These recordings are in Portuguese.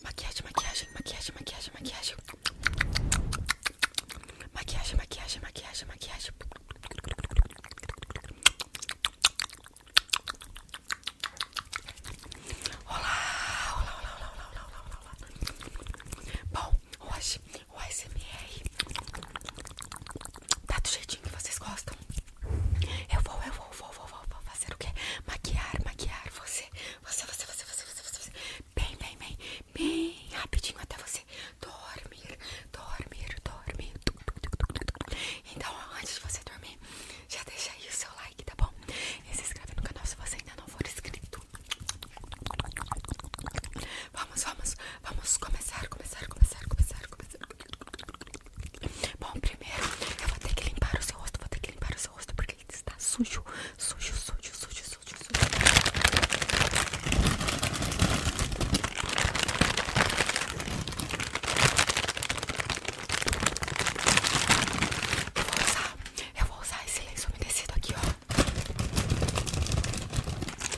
Maquiagem, maquiagem, maquiagem, maquiagem, maquiagem. Maquiagem, maquiagem, maquiagem, maquiagem. Olá, olá, olá, olá, olá, olá, olá, Bom, hoje o ASMR Tá do jeitinho que vocês gostam. Eu vou, eu vou, vou, vou, vou, fazer o quê? Maquiar, maquiar você. Você, você, você, você, você, você, você. Bem, bem, bem, bem rapidinho até você dormir, dormir, dormir. Então, antes de você dormir, já deixa aí o seu like, tá bom? E se inscreve no canal se você ainda não for inscrito. Vamos, vamos, vamos começar, começar, começar, começar, começar. Bom, primeiro eu vou ter que limpar o seu rosto, vou ter que limpar o seu rosto porque ele está sujo, sujo, sujo, sujo, sujo, sujo. Eu vou usar, eu vou usar esse lenço umedecido aqui, ó. Vamos lá.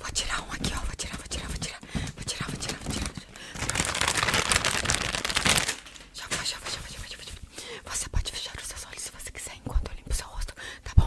Vou tirar um aqui, ó. Vou tirar, vou tirar, vou tirar. Vou tirar, vou tirar, vou tirar. Já vou, já vou, já vou, já vou, já vou. Você pode fechar os seus olhos se você quiser enquanto eu limpo seu rosto, tá bom?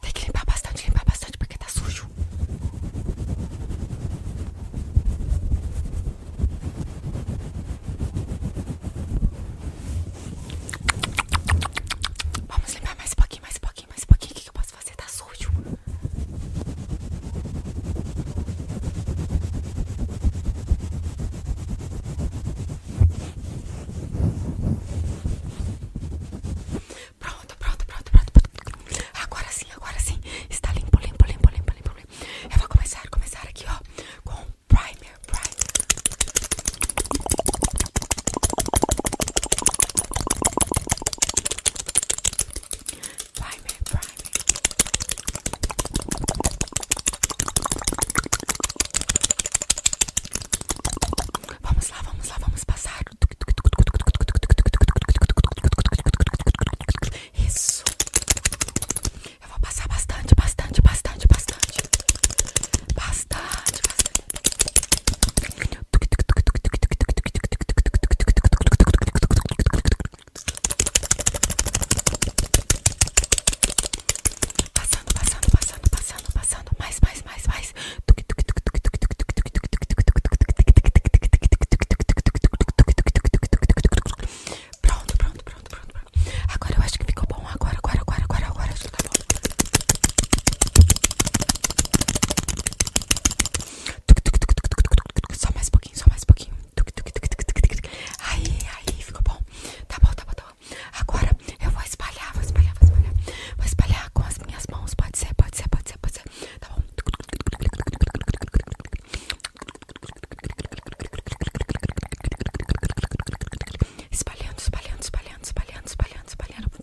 Tem que limpar bastante, limpar bastante porque tá sujo. Vamos limpar mais um pouquinho, mais um pouquinho, mais um pouquinho. O que, que eu posso fazer? Tá sujo sujo. Pronto, pronto, pronto, pronto. Agora sim, agora sim. Está limpo, limpo, limpo, limpo, limpo. limpo. Eu vou começar, começar aqui, ó, com primer, primer primer, primer. Vamos lá, vamos lá, vamos passar. Isso. Eu vou passar bastante, bastante, bastante, bastante. Bastante, bastante. Passando, passando, passando, passando, passando. Mais, mais, mais, mais. Pronto, pronto, pronto, pronto. Agora eu acho que ficou bom. Agora, agora, agora, agora, agora acho que tá bom. Só mais pouquinho, só mais pouquinho. Aí, aí, ficou bom. Tá bom, tá bom, tá bom. Agora eu vou espalhar, vou espalhar, vou espalhar. Vou espalhar com as minhas mãos. Pode ser, pode ser, pode ser, pode ser. Tá bom. Espalhando, espalhando, espalhando, espalhando, espalhando, espalhando.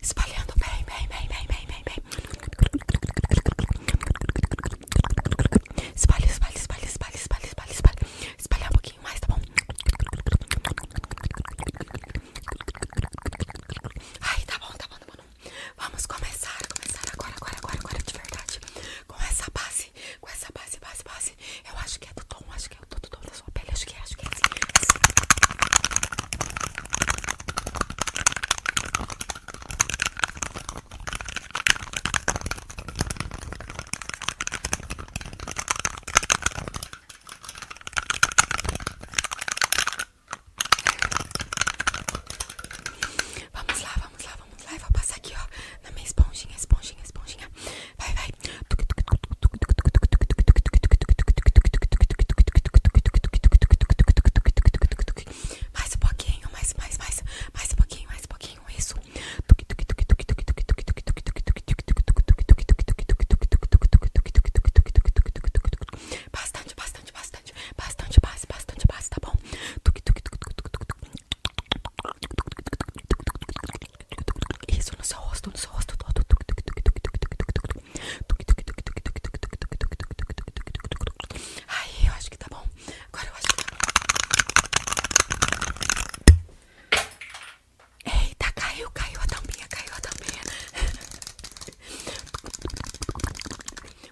Espalhando bem, bem, bem, bem, bem, bem, bem. Espalhe, espalhe, espalhe, espalhe, espalhe, espalhe, espalhe. Espalhar um pouquinho mais, tá bom? Ai, tá bom, tá bom, tá bom. Vamos começar, começar agora, agora, agora, agora, de verdade com essa base, com essa base, base, base. Eu acho que é do tom, acho que é do tom da sua pele, acho que é, acho que é Vamos lá, vamos lá, vai passar aqui, ó, na minha esponjinha, esponjinha, esponjinha. Vai, vai. Mais um pouquinho, mais, mais, mais. Mais um pouquinho, mais um pouquinho, isso. Bastante, bastante, bastante. Bastante base, bastante base, tá bom? Isso não seu rosto, no seu rosto todo. Aí, eu acho que tá bom. Agora eu acho que tá bom. Eita, caiu, caiu a tampinha, caiu a tampinha.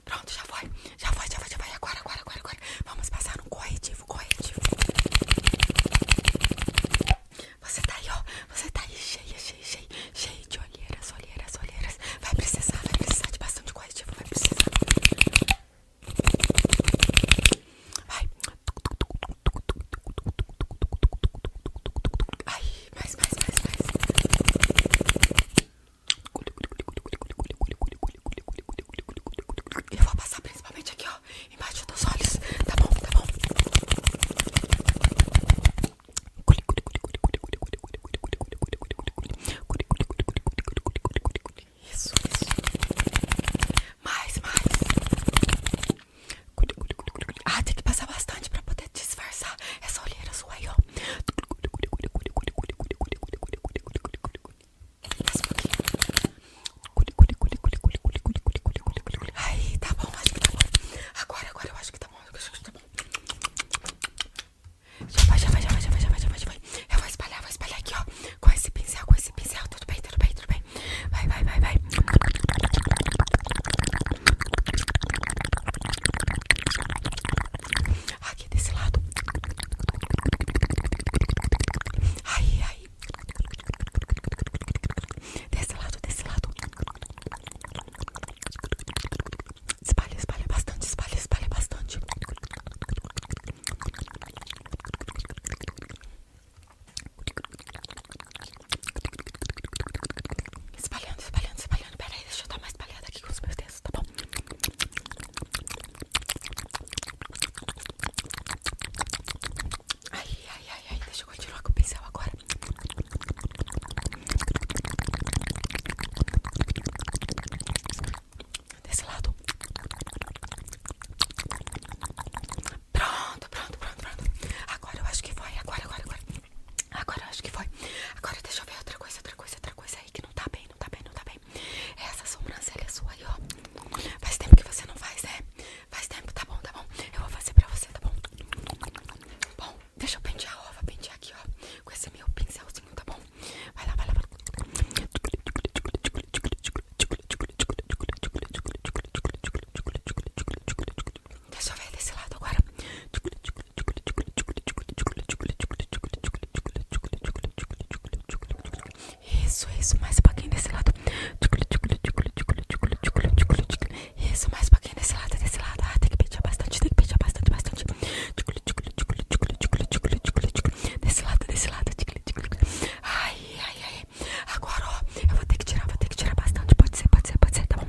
Pronto, já foi. Já foi, já foi, já foi. Agora, agora, agora, agora. Vamos passar no corretivo, corretivo. Você tá aí, ó. Você tá aí cheia, cheia, cheia, cheia de olheiras, olheiras, olheiras. Vai precisar, vai precisar de bastante corretivo, vai precisar. Vai. Ai, mais, mais, mais, mais. Eu vou passar principalmente aqui, ó, embaixo dos olhos, tá bom, tá bom? Isso, Mais, mais. Ah, tem que passar bastante para poder disfarçar essa olheira sua ó. Aí, tá bom, acho que tá bom. Agora, agora eu acho que tá bom. Acho que tá bom. Já vai, já vai, já vai, já vai, já vai, já vai, já vai. Eu vou espalhar, vou espalhar aqui, ó. Com esse pincel, com esse pincel. Tudo bem, tudo bem, tudo bem. Vai, vai, vai, vai. Aqui desse lado. Aí, aí. Desse lado, desse lado. Espalha, espalha bastante, espalha, espalha bastante. Espalhando, espalhando, espalhando. Pera deixa eu dar mais espalhada aqui com os meus dedos, tá bom? Ai, ai, ai, ai, deixa eu continuar com o pincel agora. Desse lado. Pronto, pronto, pronto, pronto. Agora eu acho que foi. Agora, agora, agora. Agora eu acho que foi. Agora deixa eu ver outra coisa, outra coisa, outra coisa que não tá bem, não tá bem, não tá bem. Essa é sua aí, ó. Faz tempo que você não faz, né? Faz tempo, tá bom, tá bom. Eu vou fazer pra você, tá bom? Bom, deixa eu pendiar ó. Vou pentear aqui, ó. Com esse meu pincelzinho, tá bom? Vai lá, vai lá, vai lá. Deixa eu ver desse lado agora. Isso, isso, mais um pouquinho desse lado. Isso, mais um pouquinho desse lado, desse lado. Ah, tem que pentear bastante, tem que pentear bastante, bastante. Desse lado, desse lado. Ai, ai, ai. Agora, ó, eu vou ter que tirar, vou ter que tirar bastante. Pode ser, pode ser, pode ser, tá bom?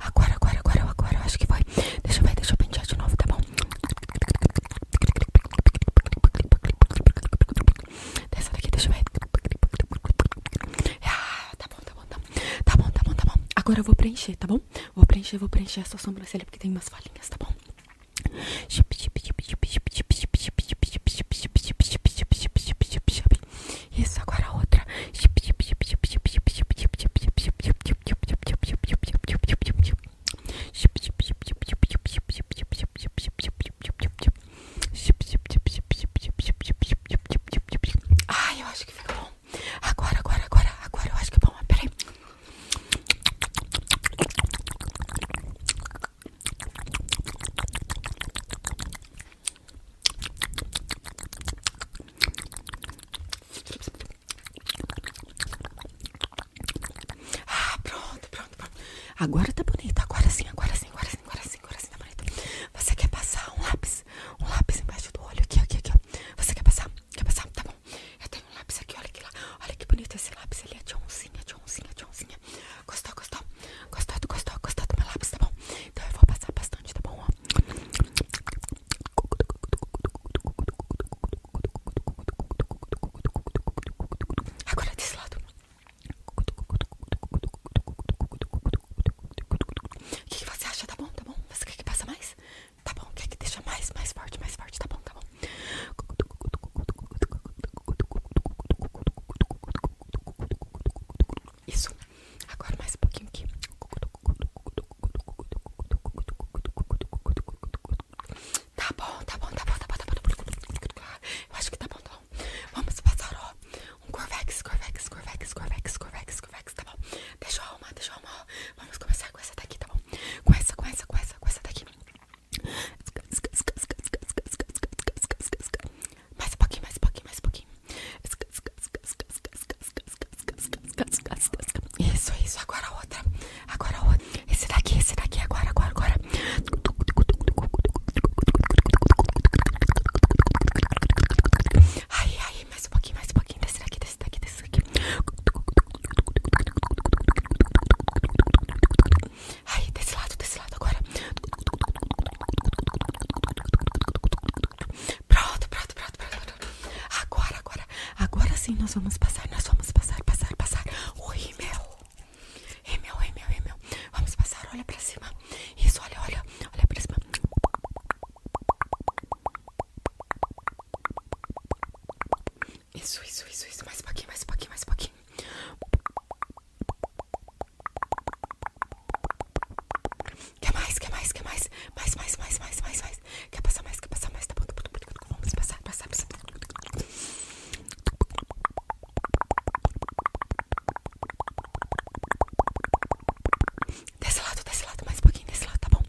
Agora, agora, agora, agora, eu acho que vai Deixa eu ver, deixa eu pentear de novo, tá bom? Dessa daqui, deixa eu ver. Ah, tá bom, tá bom, tá bom. Tá bom, tá bom, Agora eu vou preencher, tá bom? Vou preencher, vou preencher essa sombra sobrancelha porque tem umas falhinhas, tá bom? Isso, agora a outra. Ai, eu acho que fica bom. Agora, agora, agora, agora eu acho que é bom. Peraí. Ah, pronto, pronto, pronto. Agora tá bonito. Agora sim, agora sim, agora sim, agora sim, agora sim, tá bonito. Você quer passar um lápis? Um lápis embaixo do olho, aqui, aqui, aqui, ó. Você quer passar? Quer passar? Tá bom. Eu tenho um lápis aqui, olha que lá. Olha que bonito esse lápis. Ele é de oncinha, de oncinha, de oncinha. Gostou, gostou? Gostou, gostou, gostou do meu lápis, tá bom? Então eu vou passar bastante, tá bom? Ó. Agora desse lado. O que, que você acha? Tá bom, tá bom? Você quer que passa mais? Tá bom, quer que deixa mais, mais forte, mais forte, tá bom, tá bom. Isso. Agora mais um pouquinho aqui. Tá, tá bom, tá bom, tá bom, tá bom, tá bom. Eu acho que tá bom, tá bom. Vamos passar ó, um Corvex, Corvex, Corvex, Corvex, Corvex, Corvex, tá bom. Deixa eu arrumar, deixa eu arrumar. Vamos começar com essa daqui, tá bom? Com essa, com essa, com essa, com essa daqui. Mais um pouquinho, mais um pouquinho, mais um pouquinho. Isso, isso, agora outra. Agora outra. Esse daqui, esse daqui, agora, agora, agora. ai ai mais um pouquinho, mais um pouquinho. Desse daqui, desse daqui, desse daqui. ai desse lado, desse lado agora. Pronto, pronto, pronto, pronto. Agora, agora, agora sim nós vamos passar, nós vamos passar, passar, passar. oi meu meu rímel. meu rímel, meu Vamos passar, olha pra cima. Isso, olha, olha, olha pra cima. Isso, isso, isso, isso. Mais pouquinho, mais um pouquinho, mais um pouquinho. Quer mais? Quer mais? Quer mais? Mais, mais, mais, mais, mais, mais. Quer passar mais? Quer passar mais? Tá, tá bom, tá bom, tá bom. Vamos passar, passar, passar. Desse lado, desse lado, mais um pouquinho, desse lado, tá bom?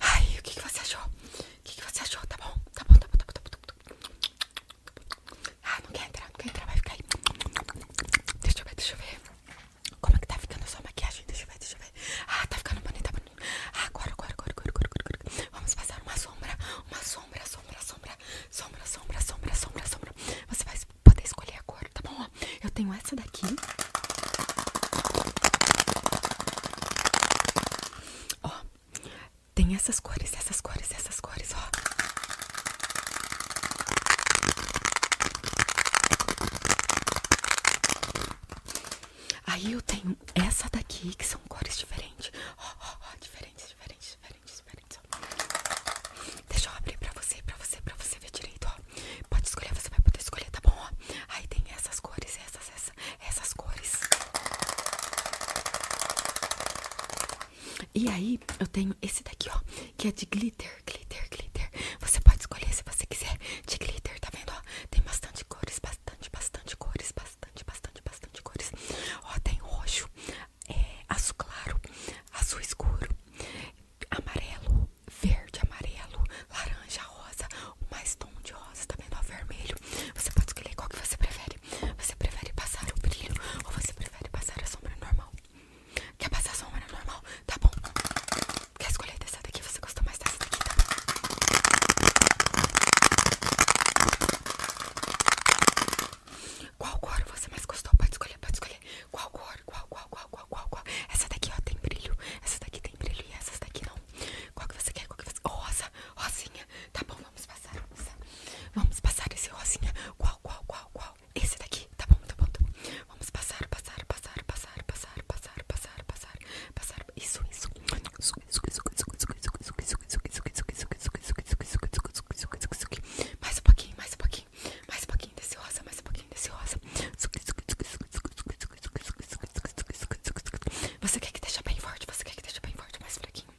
Ai, o que, que você achou? O que, que você achou? Tá bom? Tá bom, tá bom, tá bom, tá bom, tá bom. Ah, não quer entrar, não quer entrar, vai ficar aí. Deixa eu ver, deixa eu ver. Como é que tá ficando a sua maquiagem? Deixa eu ver, deixa eu ver. Ah, tá ficando bonita, tá bonita. Ah, agora, agora, agora, agora, agora, agora. Vamos passar uma sombra, uma sombra, sombra, sombra, sombra, sombra, sombra, sombra, Você vai poder escolher agora, tá bom? eu tenho essa daqui. Ó, tem essas cores, essas cores, essas cores, ó. Aí eu tenho essa daqui, que são cores diferentes. Ó, ó, ó, diferentes, diferentes, diferentes, Ó. Deixa eu abrir pra você, pra você, pra você ver direito, ó. Pode escolher, você vai poder escolher, tá bom? Ó. Aí tem essas cores, essas, essas, essas cores. E aí eu tenho esse daqui, ó, que é de glitter, glitter, glitter. Você pode escolher se você quiser de glitter, tá vendo? Ó, tem bastante cores, bastante, bastante cores, bastante, bastante, bastante cores. Ó, tem roxo, é, azul claro, azul escuro, amarelo, verde, amarelo, laranja, rosa, mais tom de rosa, tá vendo? vermelho. Você pode escolher qual que você prefere. Você prefere passar o brilho ou você prefere passar a sombra normal? Quer passar a sombra normal? Tá bom. Quer escolher dessa daqui? Você gostou mais dessa daqui? Tá bom. Qual cor você mais gostou? Pode escolher, pode escolher. Qual cor? Qual, qual, qual, qual, qual, qual? Essa daqui, ó, tem brilho. Essa daqui tem brilho e essa daqui não. Qual que você quer? Qual Rosa, rosinha. Tá bom, Vamos passar, vamos passar. Vamos passar esse rosinha. Qual, qual, qual, qual? Esse daqui. Tá bom, tá bom, Vamos passar, passar, passar, passar, passar, passar, passar, passar, passar. Isso, isso. Mais um pouquinho, mais um pouquinho. Mais um pouquinho desse rosa, mais um pouquinho desse rosa. Você quer que deixe bem forte? Você quer que deixe bem forte? Mais fraquinho.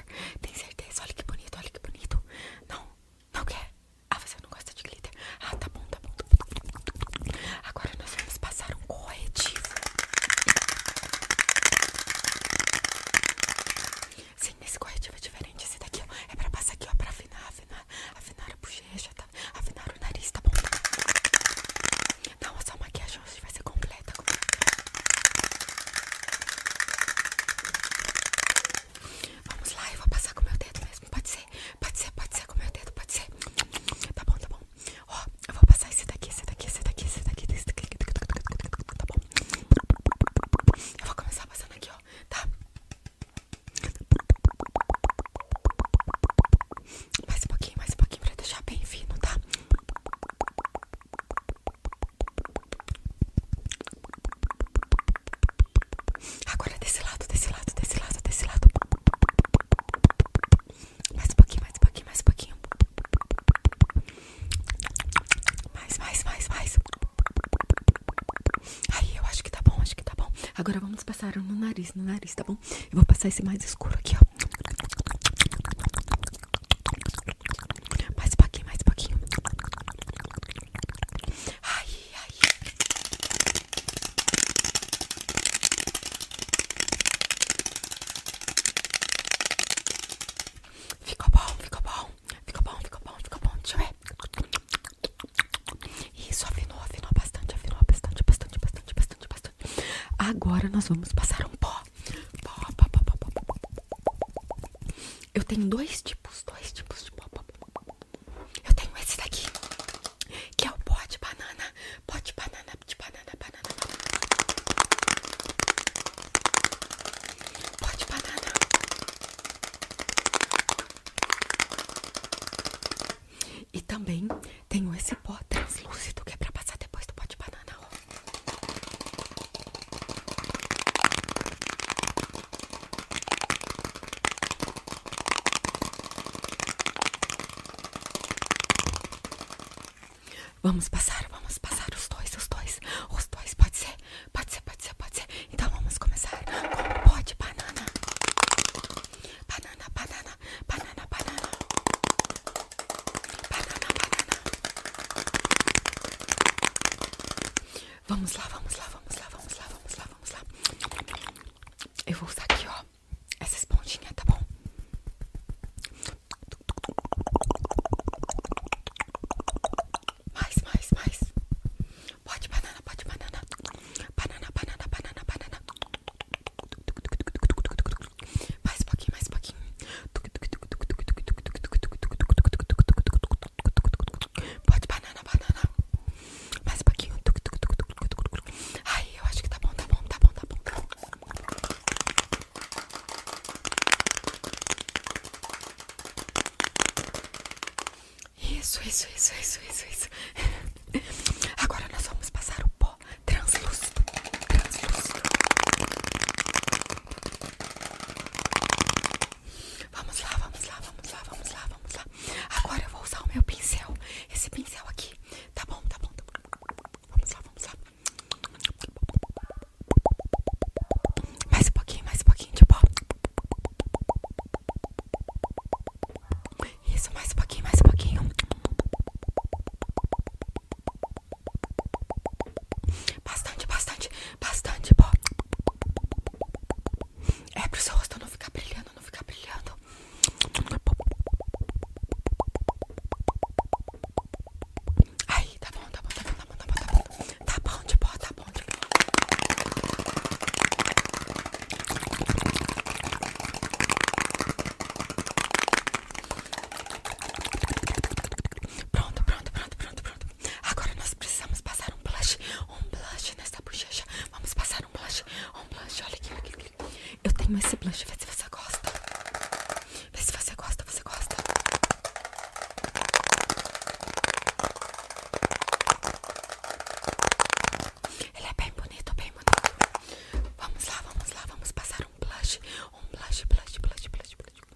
glitter. Tem certeza? Olha que bonito, olha que bonito. Não, não quer? Ah, você não gosta de glitter? Ah, tá bom, tá bom. Agora nós vamos passar um corretivo. Sim, esse corretivo é diferente. Esse daqui, é pra passar aqui, ó, pra afinar, afinar, afinar a bochecha, tá? Afinar o nariz, tá bom? Não, essa maquiagem vai ser completa. Vamos lá, eu vou passar com meu dedo mesmo. Pode ser, pode ser, pode ser com meu dedo, pode ser. Tá bom, tá bom. Ó, eu vou passar esse daqui, esse daqui, esse daqui, esse daqui, esse daqui. Tá bom. Eu vou começar passando aqui, ó. Tá? Mais um pouquinho, mais um pouquinho pra deixar bem fino, tá? Agora desse lado, desse lado, desse lado, desse lado. Mais um pouquinho, mais um pouquinho, mais um pouquinho. Mais, mais, mais, mais. Aí, eu acho que tá bom, acho que tá bom. Agora vamos passar no nariz, no nariz, tá bom? Eu vou passar esse mais escuro aqui, ó. Mais um pouquinho, mais um pouquinho. Ai, ai. Ficou bom, ficou bom. Ficou bom, ficou bom, ficou bom. Deixa eu ver. Isso, afinou, afinou bastante, afinou bastante, bastante, bastante, bastante, bastante. Agora nós vamos passar um pó, pó, pó, pó, pó, pó. Eu tenho dois tipos, dois tipos de pó. Eu tenho esse daqui, que é o pó de banana, pó de banana, de banana, banana, banana. Pó de banana. E também tenho esse pó translúcido que é pra passar depois do pó de banana. Vamos passar, vamos passar os dois, os dois, os dois, pode ser, pode ser, pode ser, pode ser. Então vamos começar com pó de banana. Banana, banana, banana, banana. Banana, banana. Vamos lá, vamos lá, vamos lá, vamos lá, vamos lá, vamos lá. Eu vou usar aqui, ó, essa esponjinha, tá bom? Mais, mais, mais. Pode banana, pode banana. Banana, banana, banana, banana. Mais um pouquinho, mais um pouquinho. Pode banana, banana. Mais um pouquinho. Ai, eu acho que tá bom, tá bom, tá bom, tá bom. Tá bom. Isso, isso, isso, isso, isso, isso. Agora nós vamos passar o pó translúcido. Translúcido. Vamos lá, vamos lá, vamos lá, vamos lá, vamos lá. Agora eu vou usar o meu pincel, esse pincel aqui. Tá bom, tá bom. Tá bom. Vamos lá, vamos lá. Mais um pouquinho, mais um pouquinho de pó. Isso, mais um pouquinho, mais um pouquinho. Bastante, bastante, bastante pó. É pro seu rosto não ficar brilhando, não ficar brilhando. Aí, tá bom, tá bom, tá bom, tá bom, tá bom, tá bom. Tá bom de pó, tá bom de pó. Pronto, pronto, pronto, pronto, pronto. Agora nós precisamos passar um blush, um blush nessa bochecha. Vamos passar um blush, um blush. Olha aqui, Eu tenho esse blush, vê se você gosta. Vê se você gosta, você gosta. Ele é bem bonito, bem bonito. Vamos lá, vamos lá, vamos passar um blush, um blush, blush, blush, blush, blush.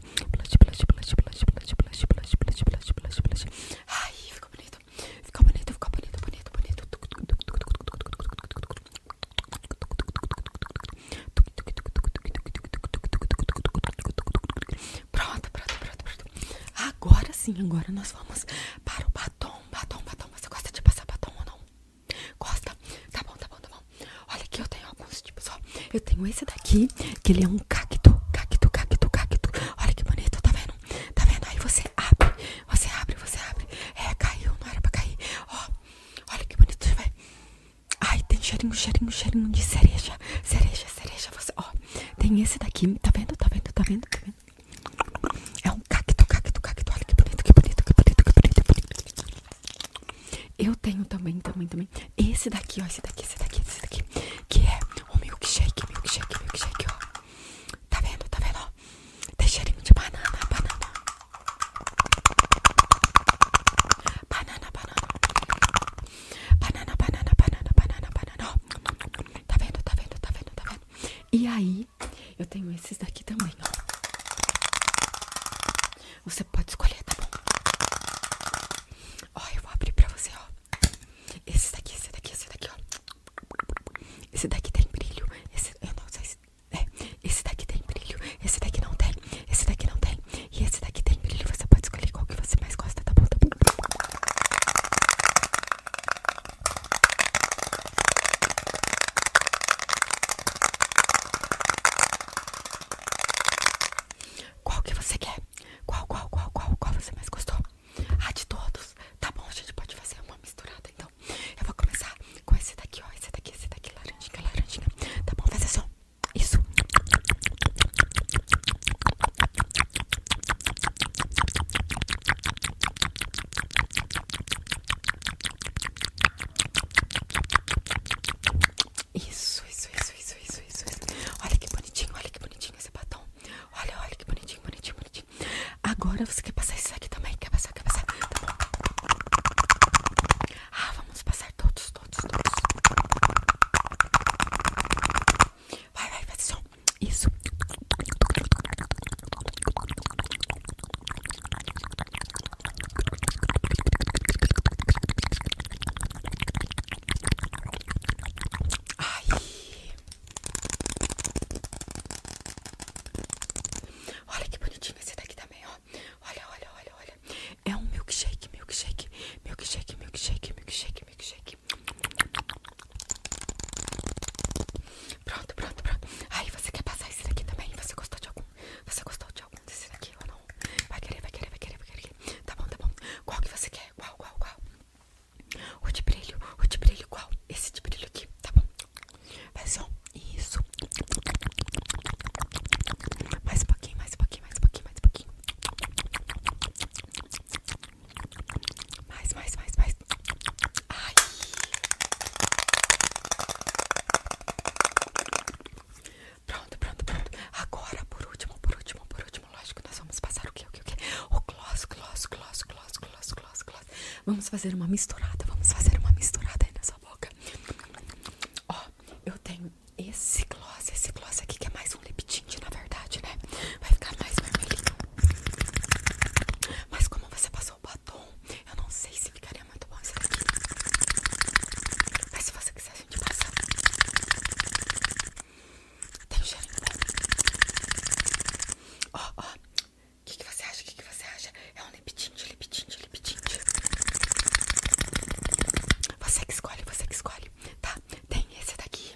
blush, blush, blush, blush, blush, blush, blush, blush, blush, blush, blush, blush. Ai, ficou bonito. Ficou bonito, ficou bonito, bonito, bonito. Pronto, pronto, pronto, pronto. Agora sim, agora nós vamos para o batom, batom, batom. Você gosta de passar batom ou não? Gosta? Tá bom, tá bom, tá bom. Olha aqui, eu tenho alguns tipos, eu tenho esse daqui, que ele é um cacto, cacto, cacto, cacto. Olha que bonito, tá vendo? Tá vendo? Aí você abre, você abre, você abre. É, caiu, não era pra cair. Ó, olha que bonito, vai. Ai, tem cheirinho, cheirinho, cheirinho de cereja. Cereja, cereja, você, ó. tem esse daqui, Tá vendo? Tá vendo? Tá vendo? Tá é um cacto, cacto, cacto. Olha que bonito, que bonito, que bonito, que bonito. Eu tenho também, também, também. Esse daqui, ó. Esse daqui, esse daqui, esse daqui. Que é o milkshake, milkshake, milkshake, ó. Tá vendo, tá vendo, ó? Tem cheirinho de banana, banana. Banana, banana. Banana, banana, banana, Ó. Tá vendo, tá vendo, tá vendo, tá vendo? E aí, eu tenho esses daqui também, ó. Você pode escolher, tá bom? Ó, eu vou abrir pra você, ó. Esse daqui, esse daqui, esse daqui, ó. Esse daqui tem brilho. Esse, eu não sei se, é, esse daqui tem brilho. Esse daqui não tem. Esse daqui não tem. E esse daqui tem brilho. Você pode escolher qual que você mais gosta, tá bom? Tá bom? Qual que você quer? Qual, qual, qual, qual, qual você mais gostou? Ah, de todos. Tá bom, a gente pode fazer uma misturada, então. Eu vou começar com esse daqui, ó. Esse daqui, esse daqui, laranjinha, laranjinha. Tá bom, fazer só isso. Isso, isso, isso, isso, isso, isso, Olha que bonitinho, olha que bonitinho esse batom. Olha, olha que bonitinho, bonitinho, bonitinho. Agora você quer passar esse aqui também? Quer passar, quer passar? Tá ah, vamos passar todos, todos, todos. Vai, vai, faz som. Isso. Ai. Olha que bonitinho esse daqui também, ó. Olha, olha, olha, olha. É um milkshake, milkshake, milkshake, milkshake, milkshake, milkshake. Pronto, pronto, pronto. Aí você quer passar esse daqui também? Você gostou de algum? Você gostou de algum desse daqui ou não? Vai querer, vai querer, vai querer, vai querer. Tá bom, tá bom. Qual que você quer? Qual, qual, qual? O de brilho, o de brilho, qual? Esse de brilho aqui, tá bom? Vai só, isso. Mais um pouquinho, mais um pouquinho, mais um pouquinho, mais um pouquinho. Mais, mais, mais, mais. Ai. Pronto, pronto, pronto. Agora, por último, por último, por último, lógico, nós vamos passar o que, o que, o que? O gloss, gloss, gloss, gloss, gloss, gloss, gloss. Vamos fazer uma misturada, vamos fazer uma misturada aí na boca. Ó, eu tenho esse gloss, esse gloss aqui que é mais um lip tint, na verdade, né? Vai ficar mais vermelhinho. Mas como você passou o batom, eu não sei se ficaria muito bom isso daqui. Mas se você quiser a gente Tem um cheirinho Ó, ó. O que, que você acha? O que, que você acha? É um lip tint, lip tint, lip tint. Você que escolhe, você que escolhe. Tá, tem esse daqui.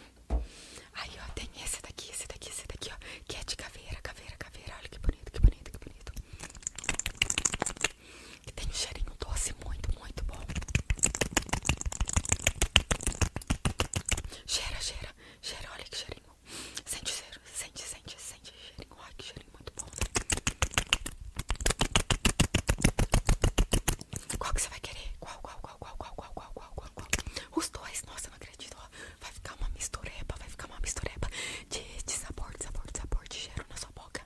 Aí, ó, tem esse daqui, esse daqui, esse daqui, ó. Que é de caveira, caveira, caveira. Olha que bonito, que bonito, que bonito que tem um cheirinho doce muito, muito bom. Cheira, cheira, cheira, olha que cheirinho. Sente cheiro, sente, sente, sente cheirinho. Olha que cheirinho muito bom. Qual que você vai querer? Qual, qual, qual, qual, qual, qual, qual, qual, qual, Os dois, nossa, não acredito. Vai ficar uma misturepa, vai ficar uma misturepa de, de sabor, de sabor, de sabor, de cheiro na sua boca.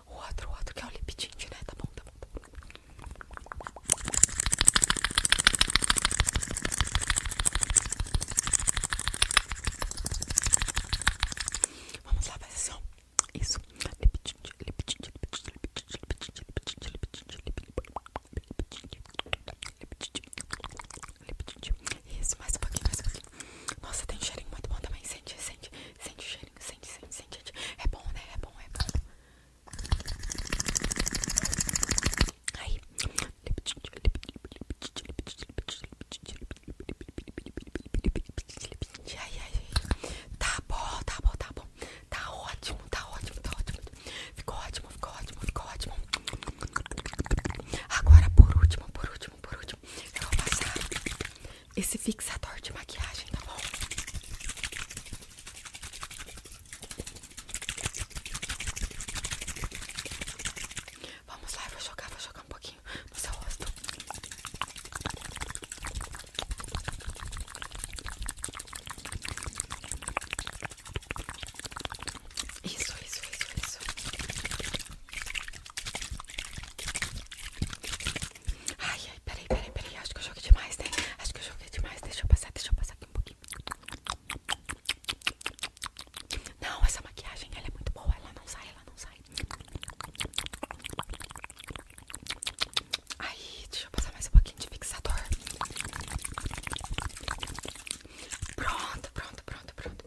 O outro, o outro que é o lip tint, né? Tá bom, tá bom, Vamos lá, fazer assim, ó. Isso. Lip tint, lip tint, lip tint, lip tint, lip tint, lip tint, lip tint, lip tint, lip tint. Isso, mais um pouquinho, mais um pouquinho. Nossa, tem um cheirinho muito bom também. Sente, sente, sente o cheirinho. Sente, sente, sente. É bom, né? É bom, é bom. Aí. Ai, ai, ai. Tá bom, tá bom, tá bom. Tá ótimo, tá ótimo, tá ótimo. Ficou ótimo, ficou ótimo, ficou ótimo. Agora, por último, por último, por último, eu vou passar esse fixador de maquiagem, tá bom? Vamos lá, vou jogar, vou jogar um pouquinho no seu rosto. Isso, isso, isso, isso. Ai, ai, peraí, peraí, peraí. Acho que eu joguei demais, né? Acho que eu joguei demais. Deixa eu passar, deixa eu passar aqui um pouquinho. Não, essa maquiagem, ela é muito boa. Ela não sai, ela não sai. Aí, deixa eu passar mais um pouquinho de fixador. Pronto, pronto, pronto, pronto.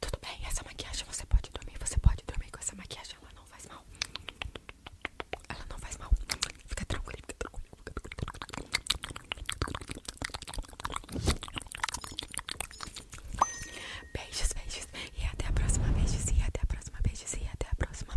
Tudo bem, essa maquiagem você pode dormir, você pode dormir com essa maquiagem, ela não faz mal. Ela não faz mal. Fica tranquilo, Beijos, beijos. E até a próxima, beijos. E até a próxima, beijos. E até a próxima.